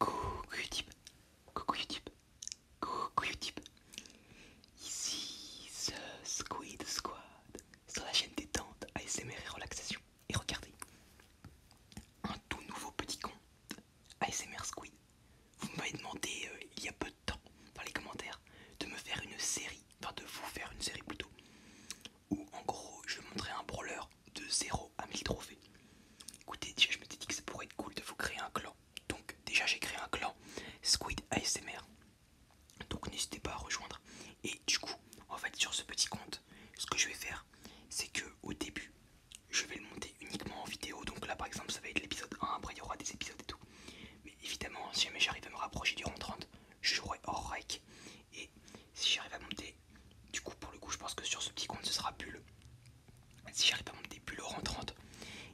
Coucou YouTube, coucou YouTube, coucou YouTube Ici The Squid Squad sur la chaîne détente ASMR et relaxation. Et regardez, un tout nouveau petit compte ASMR Squid. Vous m'avez demandé euh, il y a peu de temps dans les commentaires de me faire une série, enfin de vous faire une série plutôt où en gros je montrais un brawler de 0 à 1000 trophées. Écoutez, déjà je m'étais dit que ça pourrait être cool de vous créer un clan. Donc déjà j'ai créé un clan Squid ASMR. Donc n'hésitez pas à rejoindre. Et du coup, en fait sur ce petit compte, ce que je vais faire, c'est que au début, je vais le monter uniquement en vidéo. Donc là par exemple ça va être l'épisode 1, après il y aura des épisodes et tout. Mais évidemment, si jamais j'arrive à me rapprocher du rang 30, je jouerai hors rec. Et si j'arrive à monter du coup pour le coup je pense que sur ce petit compte ce sera bulle si j'arrive à monter bulle 30, et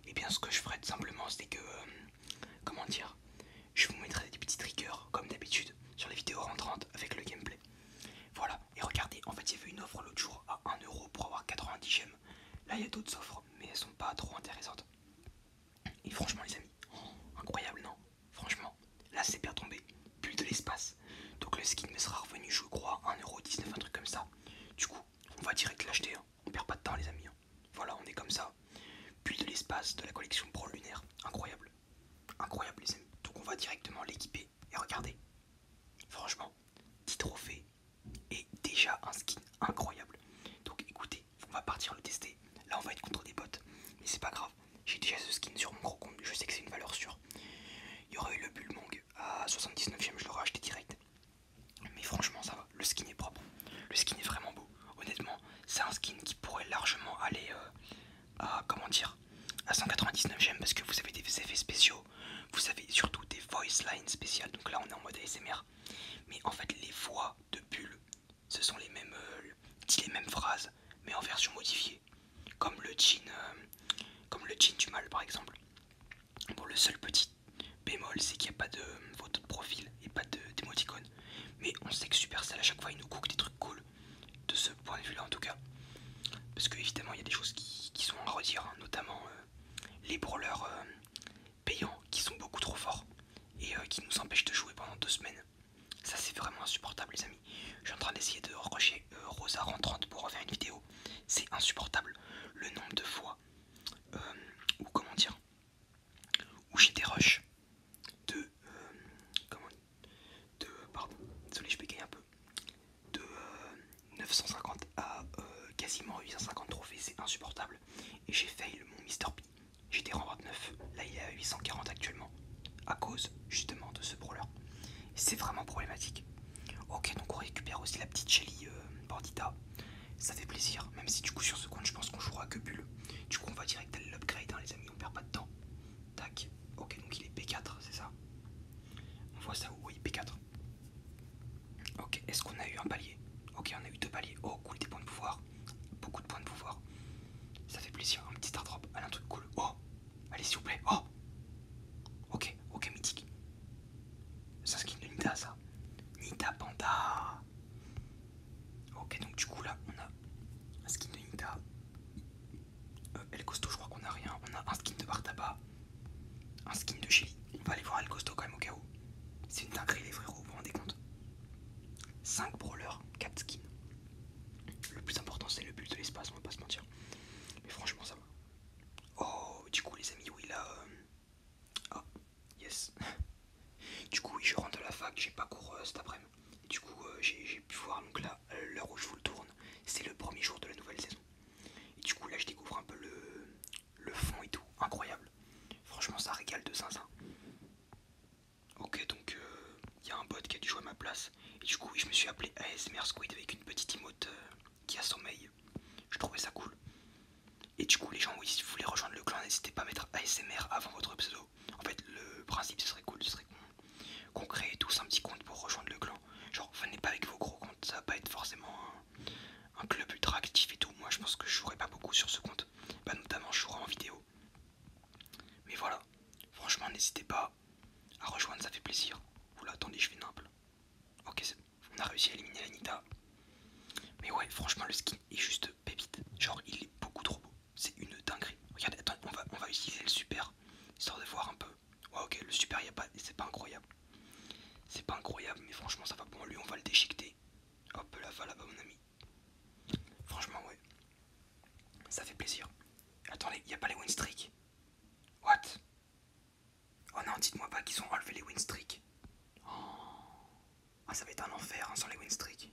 eh bien ce que je ferai tout simplement c'est que euh, comment dire je vous mettrai des petits triggers comme d'habitude sur les vidéos rentrantes avec le gameplay voilà et regardez en fait il y une offre l'autre jour à 1€ pour avoir 90 gemmes là il y a d'autres offres mais elles sont pas trop intéressantes et franchement les amis incroyable non Franchement, là c'est bien tombé. Bulle de l'espace. Donc le skin me sera revenu, je crois, 1,19€, un truc comme ça. Du coup, on va direct l'acheter. Hein. On perd pas de temps, les amis. Hein. Voilà, on est comme ça. Bulle de l'espace de la collection Pro Lunaire. Incroyable. Incroyable, les amis. Donc on va directement l'équiper. Et regardez. Franchement, 10 trophées. Et déjà un skin incroyable. Donc écoutez, on va partir le tester. Là, on va être contre des bots. Mais c'est pas grave. J'ai déjà ce skin sur mon gros compte, je sais que c'est une valeur sûre. Il y aurait eu le Bullmong à 79ème, je l'aurais acheté direct. Mais franchement, ça va, le skin est propre. Le skin est vraiment beau. Honnêtement, c'est un skin qui pourrait largement aller euh, à comment dire à 199ème parce que vous avez des effets spéciaux, vous avez surtout des voice lines spéciales. Donc là, on est en mode ASMR. Mais en fait, les voix de Bull, ce sont les mêmes, euh, dit les mêmes phrases, mais en version modifiée, comme le jean, euh, comme le du mal par exemple. Bon, le seul petit bémol, c'est qu'il n'y a pas de photo de profil et pas de d'émoticône. Mais on sait que Supercell à chaque fois il nous cook des trucs cool, de ce point de vue-là en tout cas. Parce que évidemment il y a des choses qui, sont à redire, hein. notamment euh, les brawlers euh, payants qui sont beaucoup trop forts et qui nous empêchent de jouer pendant deux semaines. Ça c'est vraiment insupportable les amis. Je suis en train d'essayer de rocher euh, Rosa Rosa 30 pour refaire une vidéo. C'est insupportable le nombre de fois euh, ou comment dire où j'ai des rushs de euh, comment de pardon désolé je bégaye un peu de 950 à quasiment 850 trophées c'est insupportable et j'ai fail mon Mr. P. J'étais en 29, là il est à 840 actuellement à cause justement de ce brawler. C'est vraiment problématique. Ok, donc on récupère aussi la petite Shelly euh, Bordita Ça fait plaisir, même si du coup sur ce compte je pense qu'on jouera que Bulle. Du coup on va direct à l'upgrade, hein, les amis, on perd pas de temps. Tac, ok, donc il est P4, c'est ça On voit ça, oui, P4. Ok, est-ce qu'on a eu un palier Ok, on a eu deux paliers. Oh, cool, des points de pouvoir. Beaucoup de points de pouvoir. Ça fait plaisir, un petit star drop. un truc cool. Oh, Allez, s'il vous plaît. Oh Ok, ok, mythique. C'est un skin de Nita, ça. Nita Panda. Ok, donc du coup, là, on a un skin de Nita. Euh, El Costo, je crois qu'on a rien. On a un skin de Bartaba. Un skin de Chili. On va aller voir El Costo quand même au cas où. C'est une dinguerie, les frérots, vous vous rendez compte 5 brawlers, 4 skins. Le plus important c'est le but de l'espace, on va pas se mentir. Mais franchement ça va. Oh, du coup les amis, oui là... Euh, ah, yes. du coup je rentre à la fac, j'ai pas cours euh, cet après-midi. Du coup euh, j'ai pu voir, donc là, l'heure où je vous le tourne, c'est le premier jour de la nouvelle saison. Et du coup là je découvre un peu le, le fond et tout, incroyable. Franchement ça régale de zinzin. Ok, donc il euh, y a un bot qui a dû jouer à ma place. Et du coup, je me suis appelé ASMR Squid avec une petite emote euh, qui a son mail, Je trouvais ça cool. Et du coup, les gens, oui, si vous voulez rejoindre le clan, n'hésitez pas à mettre ASMR avant votre pseudo. En fait, le principe, ce serait cool, ce serait qu'on crée tous un petit compte pour rejoindre le clan. Genre, venez pas avec vos gros comptes, ça va pas être forcément un, club ultra actif et tout. Moi, je pense que je jouerai pas beaucoup sur ce compte. Bah, notamment, je jouerai en vidéo. Mais voilà, franchement n'hésitez pas à rejoindre, ça fait plaisir. Oula, attendez, je fais noble Ok, on a réussi à éliminer l'Anita Mais ouais, franchement le skin est juste pépite. Genre il est beaucoup trop beau. C'est une dinguerie. Regardez, attends on va, on va utiliser le super. Histoire de voir un peu. Ouais ok, le super, pas, c'est pas incroyable. C'est pas incroyable, mais franchement ça va bon. Lui, on va le déchiqueter. Hop là, va là-bas mon ami. Franchement ouais, ça fait plaisir. Attendez, il n'y a pas les win streak What Oh non, dites-moi pas qu'ils ont enlevé les win streak. Oh. Ah, ça va être un enfer hein, sans les win streak.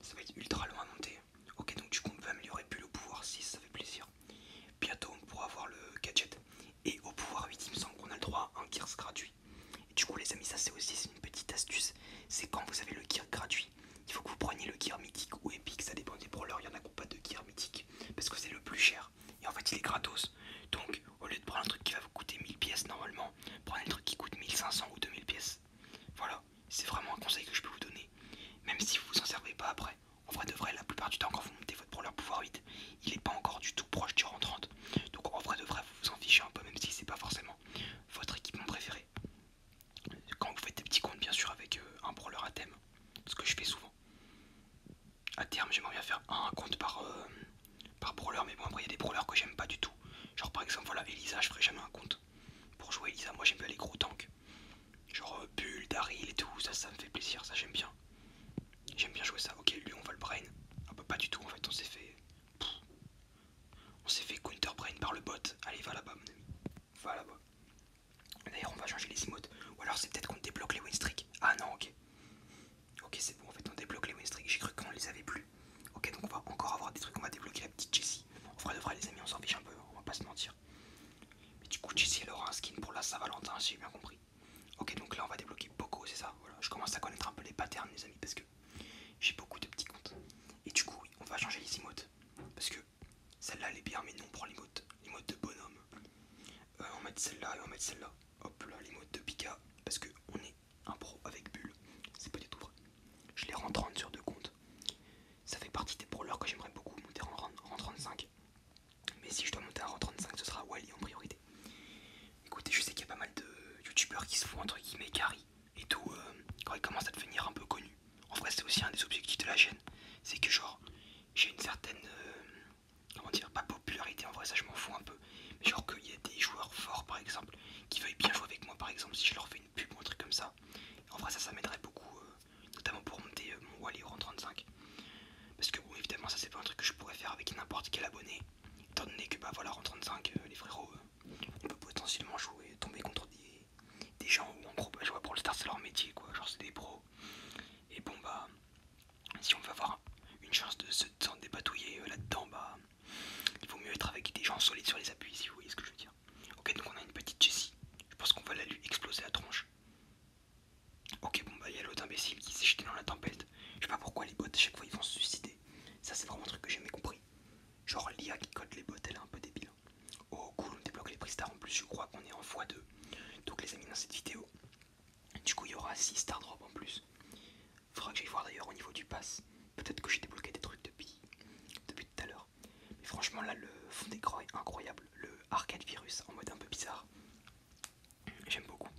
Ça va être ultra long à monter. Ok, donc du coup, on peut améliorer plus le pouvoir 6, ça fait plaisir. Bientôt, on pourra avoir le gadget. Et au pouvoir 8, il me semble qu'on a le droit à un gears gratuit. Et du coup, les amis, ça c'est aussi une petite astuce. C'est quand vous avez le gear gratuit, il faut que vous preniez le gear mythique ou épique, ça dépend des brawlers, il y en a qui pas de gear mythique, parce que c'est le plus cher, et en fait il est gratos. Donc au lieu de prendre un truc qui va vous coûter 1000 pièces normalement, prenez un truc qui coûte 1500 ou 2000 pièces. Voilà, c'est vraiment un conseil que je peux vous donner, même si vous vous en servez pas après. En vrai de vrai, la plupart du temps quand vous montez votre brawler pouvoir vite, il n'est pas encore du tout proche du rang Donc en vrai de vrai, vous vous en fichez un peu, même si c'est pas forcément votre équipement préféré. Quand vous faites des petits comptes, bien sûr, avec euh, un brawler à thème, ce que je fais souvent. À terme, j'aimerais bien faire un compte euh, par, brawler, mais bon, après, il y a des brawlers que j'aime pas du tout. Genre, par exemple, voilà, Elisa, je ferai jamais un compte pour jouer Elisa. Moi, j'aime bien les gros tanks, genre euh, Bull, Daryl et tout. Ça, ça me fait plaisir, ça, j'aime bien. J'aime bien jouer ça. Ok, lui, on va le brain. Ah, bah, pas du tout, en fait, on s'est fait. On s'est fait counter brain par le bot. Allez, va là-bas, voilà D'ailleurs, on va changer les emotes. Ou alors, c'est peut-être qu'on débloque les win streak. Ah non, ok. Ok, c'est bon, en fait, on débloque les win streak. J'ai cru qu'on les avait plus. Ok, donc on va encore avoir des trucs. On va débloquer la petite Jessie. On fera de vrai, les amis, on s'en fiche un peu. On va pas se mentir. Mais du coup, Jessie, elle aura un skin pour la Saint-Valentin, si j'ai bien compris. Ok, donc là, on va débloquer beaucoup c'est ça. Voilà, je commence à connaître un peu les patterns, les amis, parce que j'ai beaucoup de petits comptes. Et du coup, on va changer les emotes. Parce que celle-là, elle est bien, mais non, on prend les modes, les modes de bonhomme. Euh, on met mettre celle-là et on va mettre celle-là. Hop là, les modes de Pika, parce que on est un pro avec bulle. C'est pas du tout vrai. Je les rends 30 sur deux comptes. Ça fait partie des brawlers que j'aimerais beaucoup monter en rang 35. Mais si je dois monter en rang 35, ce sera Wally en priorité. Écoutez, je sais qu'il y a pas mal de youtubeurs qui se font entre guillemets carry et tout euh, quand ils commencent à devenir un peu connus. En vrai, c'est aussi un des objectifs de la chaîne. C'est que, genre, j'ai une certaine. Euh, comment dire Pas popularité, en vrai, ça je m'en fous un peu. Mais genre, qu'il y a des joueurs forts, par exemple, qui veuillent bien jouer avec moi, par exemple, si je leur fais une pub ou un truc comme ça. En vrai, ça, ça m'aiderait beaucoup, euh, notamment pour monter euh, mon Wally en 35. Parce que, bon, évidemment, ça, c'est pas un truc que je pourrais faire avec n'importe quel abonné. Étant donné que, bah voilà, en 35, les frérots, on peut potentiellement jouer, tomber contre des des gens en gros, je vois pour le star c'est leur métier quoi, genre c'est des pros. Et bon bah si on veut avoir une chance de se débatouiller euh, là-dedans, bah il vaut mieux être avec des gens solides sur les appuis si vous voyez ce que je veux dire. Ok donc on a une petite Jessie, je pense qu'on va la lui exploser la tronche. Ok bon bah il y a l'autre imbécile qui s'est jeté dans la tempête. Je sais pas pourquoi les bots à chaque fois ils vont se suicider. Ça c'est vraiment un truc que j'ai jamais compris. Genre l'IA qui code les bottes, elle est un peu débile. Oh hein. cool, on débloque les pre-stars en plus, je crois qu'on est en x2. Donc les amis, dans cette vidéo, du coup il y aura six star drop en plus. Faudra que j'aille voir d'ailleurs au niveau du pass. Peut-être que j'ai débloqué des trucs depuis, depuis tout à l'heure. Mais franchement là, le fond d'écran est incroyable. Le arcade virus en mode un peu bizarre. J'aime beaucoup.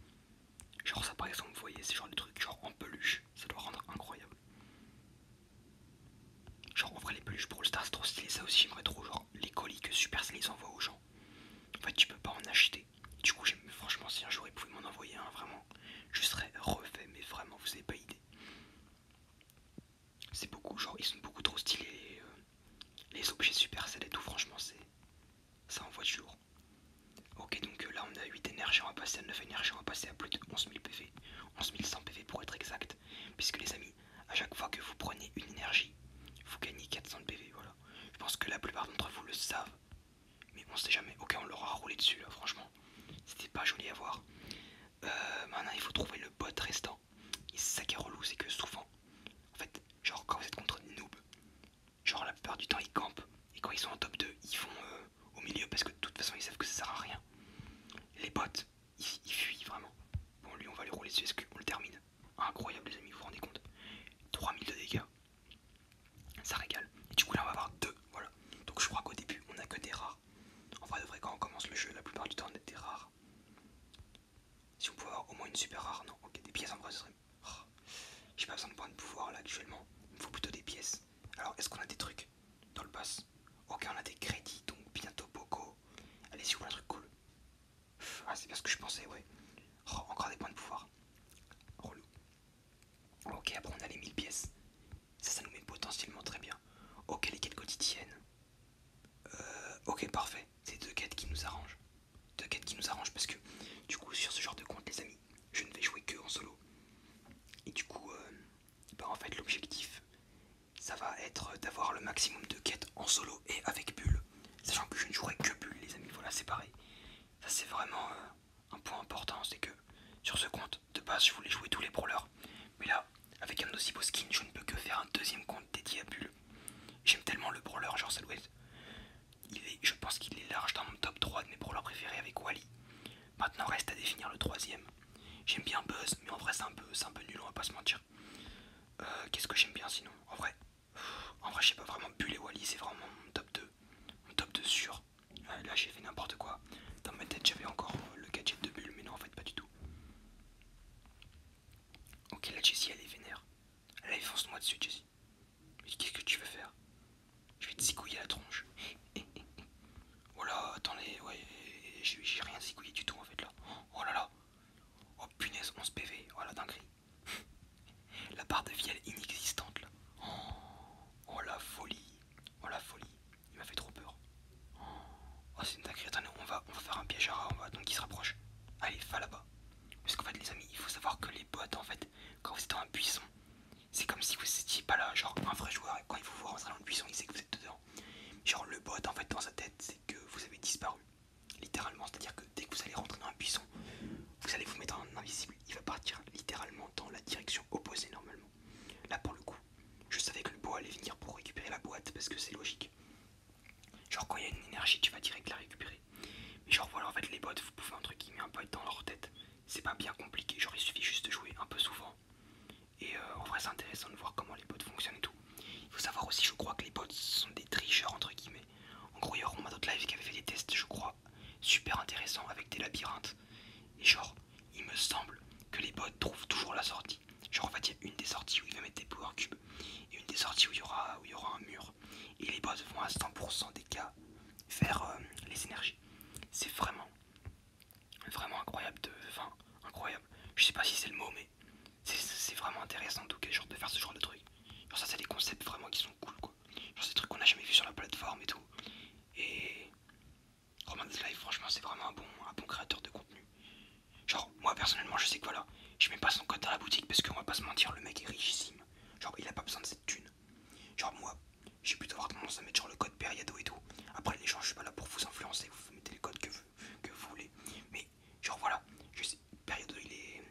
Genre ça par exemple, vous voyez, c'est genre de trucs genre en peluche. Ça doit rendre incroyable. Genre, en les peluches Brawl Stars, trop stylé. Ça aussi, j'aimerais trop. Genre, les colis que Supercell les envoie aux gens. En fait, tu peux pas en acheter. Du coup, franchement, si un jour ils pouvaient m'en envoyer un, vraiment, je serais refait. Mais vraiment, vous avez pas idée. C'est beaucoup, genre, ils sont beaucoup trop stylés. les euh, objets Supercell et tout, franchement, c'est. Ça envoie du toujours. Ok, donc euh, là, on a 8 énergies, on va passer à 9 énergies, on va passer à plus de 11 000 PV. 11 PV pour être exact. Puisque, les amis, a À chaque fois que vous prenez une énergie, vous gagnez 400 de PV. Voilà. Je pense que la plupart d'entre vous le savent. Mais on sait jamais. Ok, on l'aura roulé dessus là, franchement. C'était pas joli à voir. Euh, maintenant, il faut trouver le bot restant. Et c'est ça qui est relou, c'est que souvent, en fait, genre quand vous êtes contre des genre la plupart du temps ils campent. Et quand ils sont en top 2, ils vont euh, au milieu parce que de toute façon ils savent que ça sert à rien. Les bots, il, fuit vraiment. Bon, lui, on va le rouler dessus, SQ, on le termine Incroyable, les amis, vous vous rendez compte 3000 de dégâts, ça régale. Et du coup, là, on va avoir deux, voilà. Donc, je crois qu'au début, on a que des rares. En vrai, de vrai, quand on commence le jeu, la plupart du temps, on a des rares. Si on peut avoir au moins une super rare, non, ok, des pièces en vrai, ce serait. Ah, j'ai pas besoin de points de pouvoir là actuellement, il me faut plutôt des pièces. Alors, est-ce qu'on a des trucs dans le boss. Ok, on a des crédits, donc bientôt beaucoup. allez si on un truc cool. Ah, c'est bien ce que je pensais, ouais. Oh, encore des points de pouvoir. Relou. Ok, après on a les 1000 pièces. Ça, ça nous met potentiellement très bien. Ok, les quêtes quotidiennes. Euh, ok, parfait. C'est deux quêtes qui nous arrangent. Deux quêtes qui nous arrangent parce que, du coup, sur ce genre de compte, les amis, je ne vais jouer que en solo. Et du coup, euh, bah, en fait, l'objectif, ça va être d'avoir le maximum de quêtes en solo et avec Bulle. Sachant que je ne jouerai que Bulle, les amis, voilà, c'est pareil. Ça, c'est vraiment euh, un point important, c'est que sur ce compte, de base, je voulais jouer tous les brawlers. Mais là, avec un aussi beau skin, je ne peux que faire un deuxième compte dédié à Bulle. J'aime tellement le brawler, genre Salouette. Il est, je pense qu'il est large dans mon top 3 de mes brawlers préférés avec Wally. Maintenant, reste à définir le troisième. J'aime bien Buzz, mais en vrai c'est un, peu, un peu nul, on va pas se mentir. Euh, qu'est-ce que j'aime bien sinon En vrai, en vrai j'ai pas vraiment, Bull et Wally c'est vraiment mon top 2. Mon top 2 sûr. Euh, là j'ai fait n'importe quoi. Dans ma tête j'avais encore euh, le gadget de Bulle, mais non en fait pas du tout. Ok là Jessie elle est vénère. elle est fonce moi dessus Jessie. Mais qu'est-ce que tu veux faire Je vais te zigouiller la tronche. Oh là, attendez, ouais, j'ai rien zigouillé du tout en fait là. Oh là là. Oh punaise, 11 PV, voilà la dinguerie. la barre de vie elle est inexistante là. Oh, la folie. Oh la folie. Il m'a fait trop peur. Oh c'est une dinguerie, attendez, on va, faire un piège à rat, on va donc il se rapproche. Allez, va là-bas. Parce qu'en fait les amis, il faut savoir que les bots en fait, quand vous êtes dans un buisson, c'est comme si vous étiez pas là, genre un vrai joueur, et quand il vous voit un dans le buisson, il sait que vous êtes dedans. Genre le bot en fait dans sa tête c'est que vous avez disparu. Littéralement, c'est-à-dire que dès que vous allez rentrer dans un buisson, vous allez vous mettre en invisible, il va partir littéralement dans la direction opposée normalement. Là pour le coup, je savais que le bot allait venir pour récupérer la boîte parce que c'est logique. Genre quand il y a une énergie tu vas direct la récupérer. Mais genre voilà en fait les bots vous pouvez qui met un peu dans leur tête. C'est pas bien compliqué, j'aurais il suffit juste de jouer un peu souvent. Et euh, en vrai, c'est intéressant de voir comment les bots fonctionnent et tout. Il faut savoir aussi, je crois que les bots sont des tricheurs entre guillemets. En gros, il y a d'autres Live qui avait fait des tests, je crois, super intéressants avec des labyrinthes. Et genre, il me semble que les bots trouvent toujours la sortie. Genre, en fait, y a une des sorties où il va mettre des power cubes et une des sorties où il y aura, où y aura un mur. Et les bots vont à 100% des cas faire euh, les énergies. C'est vraiment vraiment incroyable de. Enfin, incroyable. Je sais pas si c'est le mot, mais c'est vraiment intéressant en tout cas, genre de faire ce genre de truc. Genre, ça, c'est des concepts vraiment qui sont cool, quoi. Genre, ces trucs qu'on a jamais vu sur la plateforme et tout. Et. Roman Live, franchement, c'est vraiment un bon, un bon créateur de contenu. Genre, moi personnellement, je sais que voilà, je mets pas son code dans la boutique parce qu'on va pas se mentir, le mec est richissime. Genre, il a pas besoin de cette thune. Genre, moi, j'ai plutôt avoir tendance à mettre genre le code Periado et tout. Après, les gens, je suis pas là pour vous influencer, vous mettez les codes que vous que vous voulez. Mais genre voilà, je sais, période il est,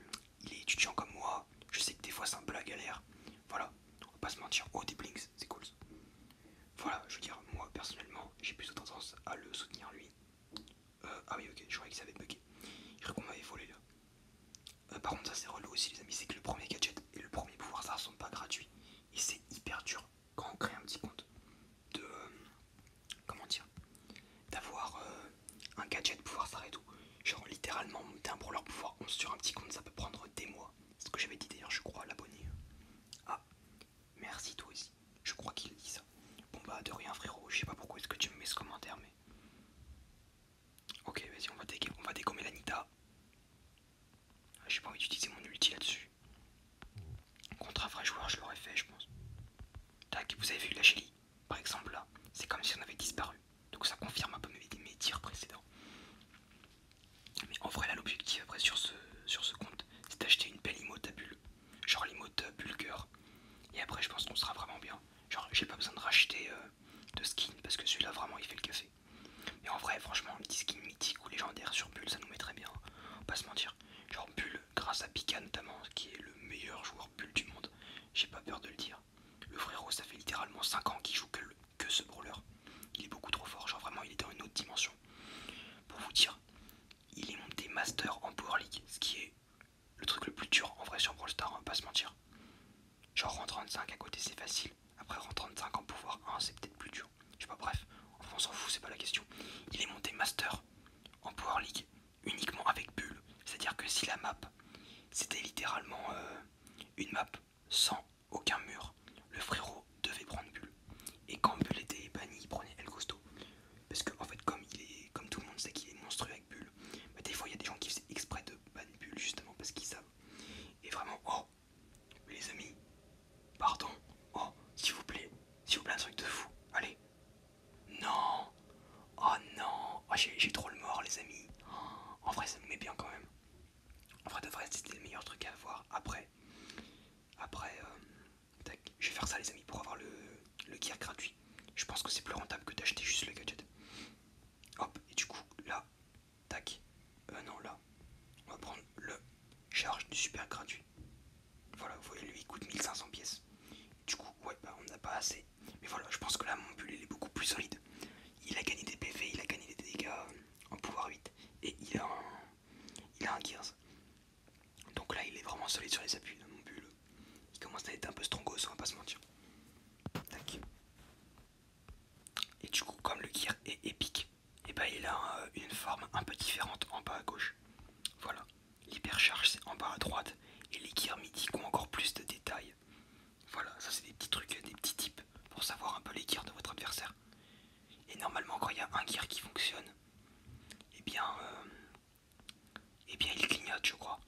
il est étudiant comme moi, je sais que des fois c'est un peu la galère. Voilà, on va pas se mentir. Oh des blinks, c'est cool. Voilà, je veux dire, moi personnellement, j'ai plus de tendance à le soutenir lui. Euh, ah oui ok, je croyais que ça avait Je crois qu'on m'avait volé là. Euh, par contre ça c'est relou aussi les amis, c'est que le premier gadget et le premier pouvoir ça sont pas gratuits. Et c'est hyper dur quand on crée un petit compte, de euh, comment dire, d'avoir euh, un gadget, pouvoir s'arrêter et tout. Genre littéralement monter un leur pouvoir se sur un petit compte, ça peut prendre des mois. C'est ce que j'avais dit d'ailleurs, je crois, à l'abonné. Ah, merci toi aussi. Je crois qu'il dit ça. Bon bah de rien frérot, je sais pas pourquoi est-ce que tu me mets ce commentaire mais... Ok vas-y on va dégommer, on va dégommer l'Anita. Ah, j'ai pas envie d'utiliser mon ulti là-dessus. Contre un vrai joueur, je l'aurais fait, je pense. Tac, vous avez vu la Chili Par exemple, là, c'est comme si on avait disparu. Donc ça confirme un peu mes, tirs précédents. Mais en vrai, là, l'objectif après sur ce, sur ce compte, c'est d'acheter une belle emote à bulle. Genre l'emote euh, Et après, je pense qu'on sera vraiment bien. Genre, j'ai pas besoin de racheter euh, de skin parce que celui-là, vraiment, il fait le café. Mais en vrai, franchement, les petit skin mythique ou légendaires sur bulle, ça nous met très bien. On va pas se mentir. Genre Bull, grâce à Pika notamment, qui est le meilleur joueur Bull du monde, j'ai pas peur de le dire. Le frérot, ça fait littéralement 5 ans qu'il joue que, que ce brawler. Il est beaucoup trop fort, genre vraiment il est dans une autre dimension. Pour vous dire, il est monté master en Power League, ce qui est le truc le plus dur en vrai sur Brawl Stars, va hein, pas se mentir. Genre en 35 à côté c'est facile, après en 35 en pouvoir 1 c'est peut-être plus dur. Je sais pas, bref, on s'en fout, c'est pas la question. Il est monté master en Power League uniquement avec bulle. C'est-à-dire que si la map, c'était littéralement euh, une map sans aucun mur, le frérot devait prendre bulle. Et quand bulle était banni, il prenait El Costo. Parce que en fait, comme, il est, comme tout le monde sait qu'il est monstrueux avec bulle, mais bah, des fois il y a des gens qui faisaient exprès de ban bulle justement parce qu'ils savent. Et vraiment, oh, les amis, Pardon Oh, s'il vous plaît. S'il vous plaît, un truc de fou. Allez. Non. Oh non. Oh, j'ai trop le mort, les amis. Oh, en vrai, ça me met bien quand même. En vrai, de vrai, c'était le meilleur truc à avoir. Après, après, euh, tac. je vais faire ça, les amis, pour avoir le, le gear gratuit. Je pense que c'est plus rentable que d'acheter juste le gadget. Hop, et du coup, là, tac. Euh, non, là, on va prendre le charge du super gratuit. Voilà, vous voyez, lui il coûte 1500 pièces. Du coup, ouais, bah, on n'a pas assez. Mais voilà, je pense que là mon est beaucoup plus solide. Il a gagné des PV, il a gagné des dégâts euh, en pouvoir 8 et il a un, il a un Gears. Donc là il est vraiment solide sur les appuis de mon bulle. Il commence à être un peu strongos, on va pas se mentir. Et du coup, comme le gear est épique, et eh ben il a euh, une forme un peu différente en bas à gauche. Voilà, l'hypercharge c'est en bas à droite et les gears midi ont encore plus de détails. Voilà, ça c'est des petits trucs, des petits tips pour savoir un peu les gears de votre adversaire. Et normalement quand il y a un gear qui fonctionne, et eh bien, euh, eh bien il clignote je crois,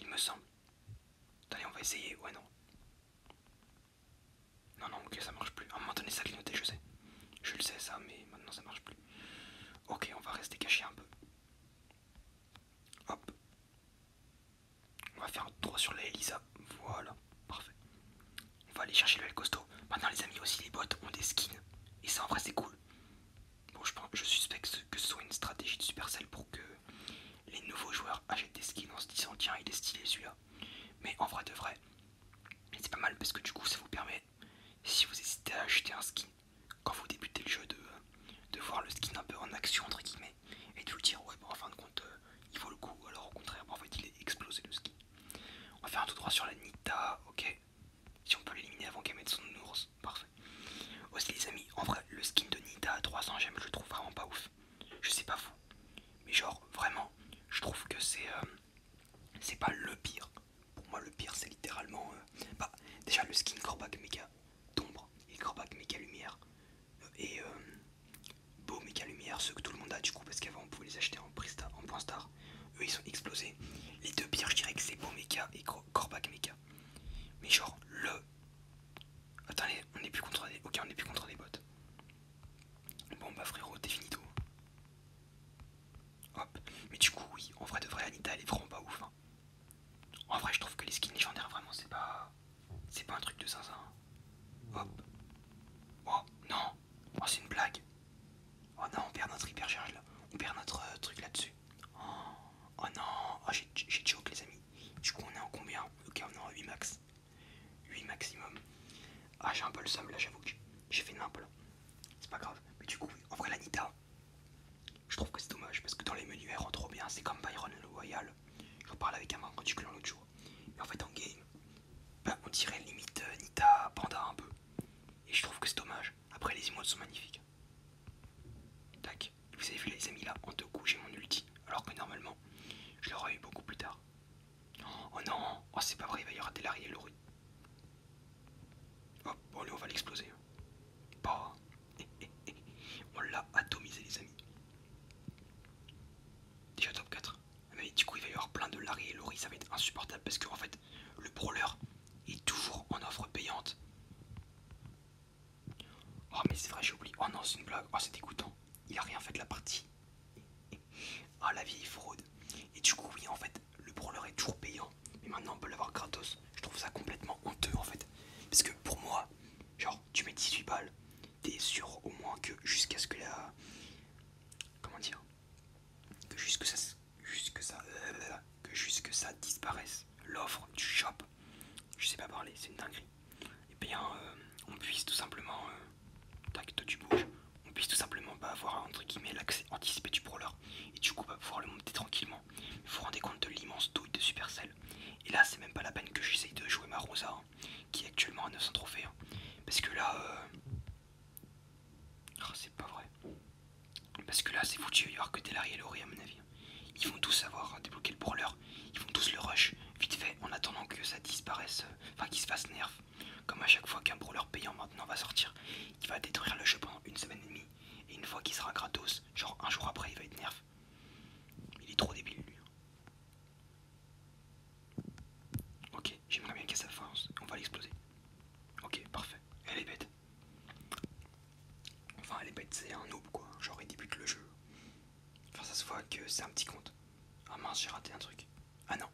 il me semble. Attendez on va essayer, ouais non. Non non ok ça marche plus, à un moment donné ça clignotait je sais. Je le sais ça, mais maintenant ça marche plus. Ok, on va rester caché un peu. Hop. On va faire un tour sur la Elisa. Voilà, parfait. On va aller chercher le L costaud. Maintenant les amis aussi les bottes ont des skins. Et ça en vrai c'est cool. Bon je pense je suspecte que ce soit une stratégie de Supercell pour que les nouveaux joueurs achètent des skins en se disant tiens il est stylé celui-là. Mais en vrai de vrai, c'est pas mal parce que du coup ça vous permet si vous hésitez à acheter un skin, quand vous débutez le jeu, de, de voir le skin un peu en action, entre guillemets, et de vous dire, ouais, bon, en fin de compte, euh, il vaut le coup, alors au contraire, en fait, il est explosé le skin. On va faire un tout droit sur la Nita, ok. Si on peut l'éliminer avant qu'elle mette son ours, parfait. Aussi, les amis, en vrai, le skin de Nita à 300 gemmes, je le trouve vraiment pas ouf. Je sais pas vous, mais genre, vraiment, je trouve que c'est. Euh, c'est pas le pire pour moi, le pire, c'est littéralement. Euh, bah, déjà le skin Corbac méga d'ombre et Corbac méga lumière. Euh, et euh, beau méga lumière, ceux que tout le monde a du coup, parce qu'avant on pouvait les acheter en, en point star. Eux ils sont explosés. Les deux pires, je dirais que c'est beau méga et Corbac mega Mais genre, le. Attendez, on n'est plus contre les Ok, on n'est plus contre les bots. Bon bah frérot, t'es tout. Hop. Mais du coup, oui, en vrai de vrai, Anita, elle est vraiment pas ouf. Hein. En vrai, je trouve que les skins légendaires, vraiment, c'est pas. C'est pas un truc de zinzin. Hein. Hop. Oh, non. Oh, c'est une blague. Oh non, on perd notre hypercharge là. On perd notre euh, truc là-dessus. Oh, oh, non. Oh, j'ai choc, les amis. Du coup, on est en combien Ok, on est en 8 max. 8 maximum. Ah, j'ai un peu le somme là, j'avoue que j'ai fait n'importe c'est pas grave. Mais du coup, en vrai, la Nita, je trouve que c'est dommage parce que dans les menus, elle rend trop bien. C'est comme Byron le Loyal. Je parle avec un membre du clan l'autre jour. Et en fait, en game, ben, on dirait limite euh, Nita Panda un peu. Et je trouve que c'est dommage. Après, les emotes sont magnifiques. Tac. Vous avez vu, les amis, là, en deux coups, j'ai mon ulti. Alors que normalement, je l'aurais eu beaucoup plus tard. Oh non, oh, c'est pas vrai, il va y avoir des Larry et Laurie. Hop, on va l'exploser. Bah. On l'a atomisé, les amis. Déjà top 4. Ah, mais du coup, il va y avoir plein de Larry et Laurie, ça va être insupportable parce que en fait, le brawler est toujours en offre payante. Oh, mais c'est vrai, j'ai oublié. Oh non, c'est une blague. Oh, c'est dégoûtant. Il a rien fait de la partie. Ah la vieille fraude. Et du coup oui en fait le brûleur est toujours payant. Mais maintenant on peut l'avoir gratos. Je trouve ça complètement honteux en fait. Parce que pour moi, genre tu mets 18 balles, t'es sûr au moins que jusqu'à ce que la... Comment dire Que jusque ça... Jusque ça... Que jusque ça disparaisse. L'offre du shop. Je sais pas parler, c'est une dinguerie. Et eh bien euh, on puisse tout simplement... Euh, tac, toi tu bouges on puisse tout simplement pas avoir entre guillemets l'accès anticipé du brawler et du coup pas bah, pouvoir le monter tranquillement. Vous vous rendez compte de l'immense douille de Supercell Et là c'est même pas la peine que j'essaye de jouer ma Rosa hein, qui est actuellement à 900 trophées. Hein. parce que là... Euh, oh, c'est pas vrai. Parce que là c'est foutu, il va y avoir que Delary et Laurie à mon avis. Hein. Ils vont tous savoir débloquer le brawler, ils vont tous le rush vite fait en attendant que ça disparaisse, euh, enfin qu'il se fasse nerf comme à chaque fois qu'un brawler payant maintenant va sortir, il va détruire le jeu pendant une semaine et demie. Et une fois qu'il sera gratos, genre un jour après, il va être nerf. Il est trop débile lui. Ok, j'aimerais bien sa force. On va l'exploser. Ok, parfait. Elle est bête. Enfin, elle est bête, c'est un noob quoi. Genre, il débute le jeu. Enfin, ça se voit que c'est un petit compte. Ah mince, j'ai raté un truc. Ah non,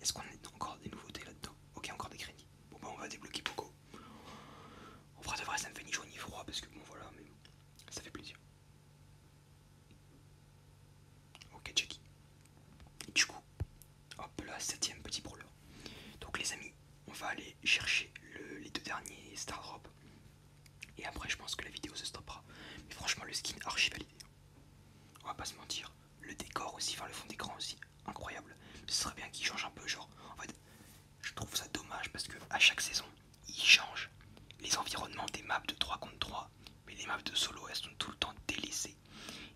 est-ce qu'on a encore des nouveautés là-dedans Ok, encore des crédits. Bon bah on va débloquer Poco. On fera de vrai, ça me fait ni chaud ni froid parce que bon voilà, mais ça fait plaisir. Ok, Jackie. Et du coup, hop là, septième petit brawler. Donc les amis, on va aller chercher les deux derniers Star Et après, je pense que la vidéo se stoppera. Mais franchement, le skin archi validé. On va pas se mentir le décor aussi, enfin le fond d'écran aussi, incroyable. ce serait bien qu'il change un peu, genre. En fait, je trouve ça dommage parce que à chaque saison, ils changent les environnements des maps de 3 contre 3, mais les maps de solo elles sont tout le temps délaissées.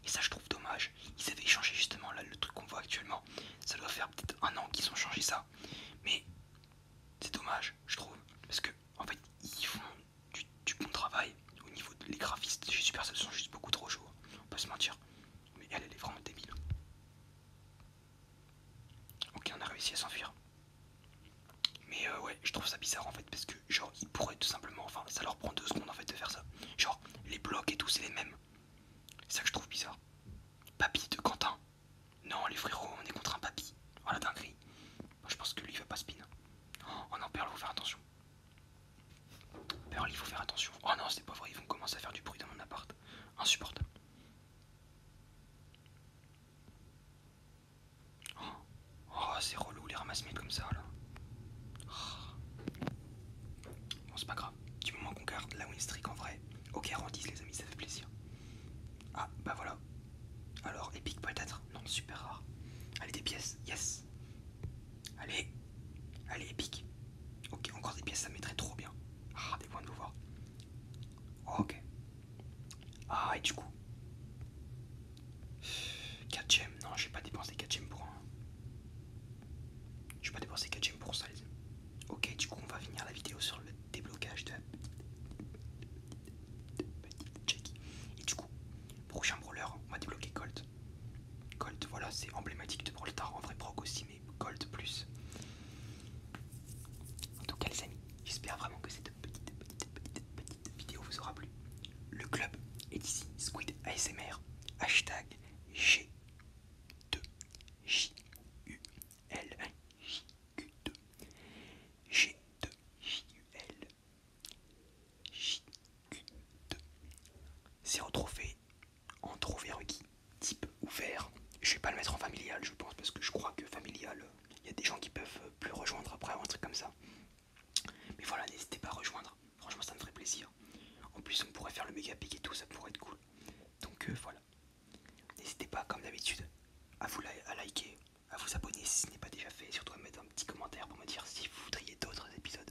Et ça je trouve dommage. Ils avaient changé justement là le truc qu'on voit actuellement. Ça doit faire peut-être un an qu'ils ont changé ça. Mais c'est dommage, je trouve. Parce que en fait ils font du, bon travail au niveau des graphistes graphistes que ça sont juste beaucoup trop chauds, hein. on peut se mentir. Mais elle, elle est vraiment débile. Ok, on a réussi à s'enfuir. Mais euh, ouais, je trouve ça bizarre en fait, parce que genre, ils pourraient tout simplement, enfin, ça leur prend deux secondes en fait de faire ça. Genre, les blocs et tout, c'est les mêmes. C'est ça que je trouve bizarre. Papy de Quentin. Non, les frérots, on est contre un papy. Oh la dinguerie. je pense que lui, il va pas spin. Oh, on en perd faut faire attention. Pearl, il faut faire attention. Oh non, c'est pas vrai, ils vont commencer à faire du bruit dans mon appart. Insupportable. Oh, oh c'est relou les ramasse-miettes comme ça là. Oh. Bon, c'est pas grave. Du moment qu'on garde la win streak en vrai. Ok, dit les amis, ça fait plaisir. Ah, bah voilà. Alors, épique peut-être Non, super rare. Allez, des pièces, yes Allez, allez, épique. Ok, encore des pièces, ça mettrait trop bien. Ah, des points de pouvoir. Ok. Ah, et du coup. 4 gemmes. Non, vais pas dépenser 4 gemmes pour un. Je vais pas dépenser 4 gemmes pour ça, Ok, du coup, on va finir la vidéo sur le déblocage de la petite check. Et du coup, prochain brawler, on va débloquer Colt. Gold, voilà, c'est emblématique de Broltar, en vrai proc aussi, mais Colt plus. En tout cas les amis, j'espère vraiment que cette petite, petite, petite, petite vidéo vous aura plu. Le club est ici, Squid ASMR, hashtag G2J. U L J 2 G 2 J U L J c'est retrouvé, trophée en trophée requis, type ouvert. Je vais pas le mettre en familial, je pense, parce que je crois que familial, il euh, y a des gens qui peuvent euh, plus rejoindre après ou un truc comme ça. Mais voilà, n'hésitez pas à rejoindre, franchement, ça me ferait plaisir. En plus, on pourrait faire le méga pic et tout, ça pourrait être cool. Donc euh, voilà, n'hésitez pas, comme d'habitude, à vous à liker, à vous abonner si ce n'est pas déjà fait, et surtout à mettre un petit commentaire pour me dire si vous voudriez d'autres épisodes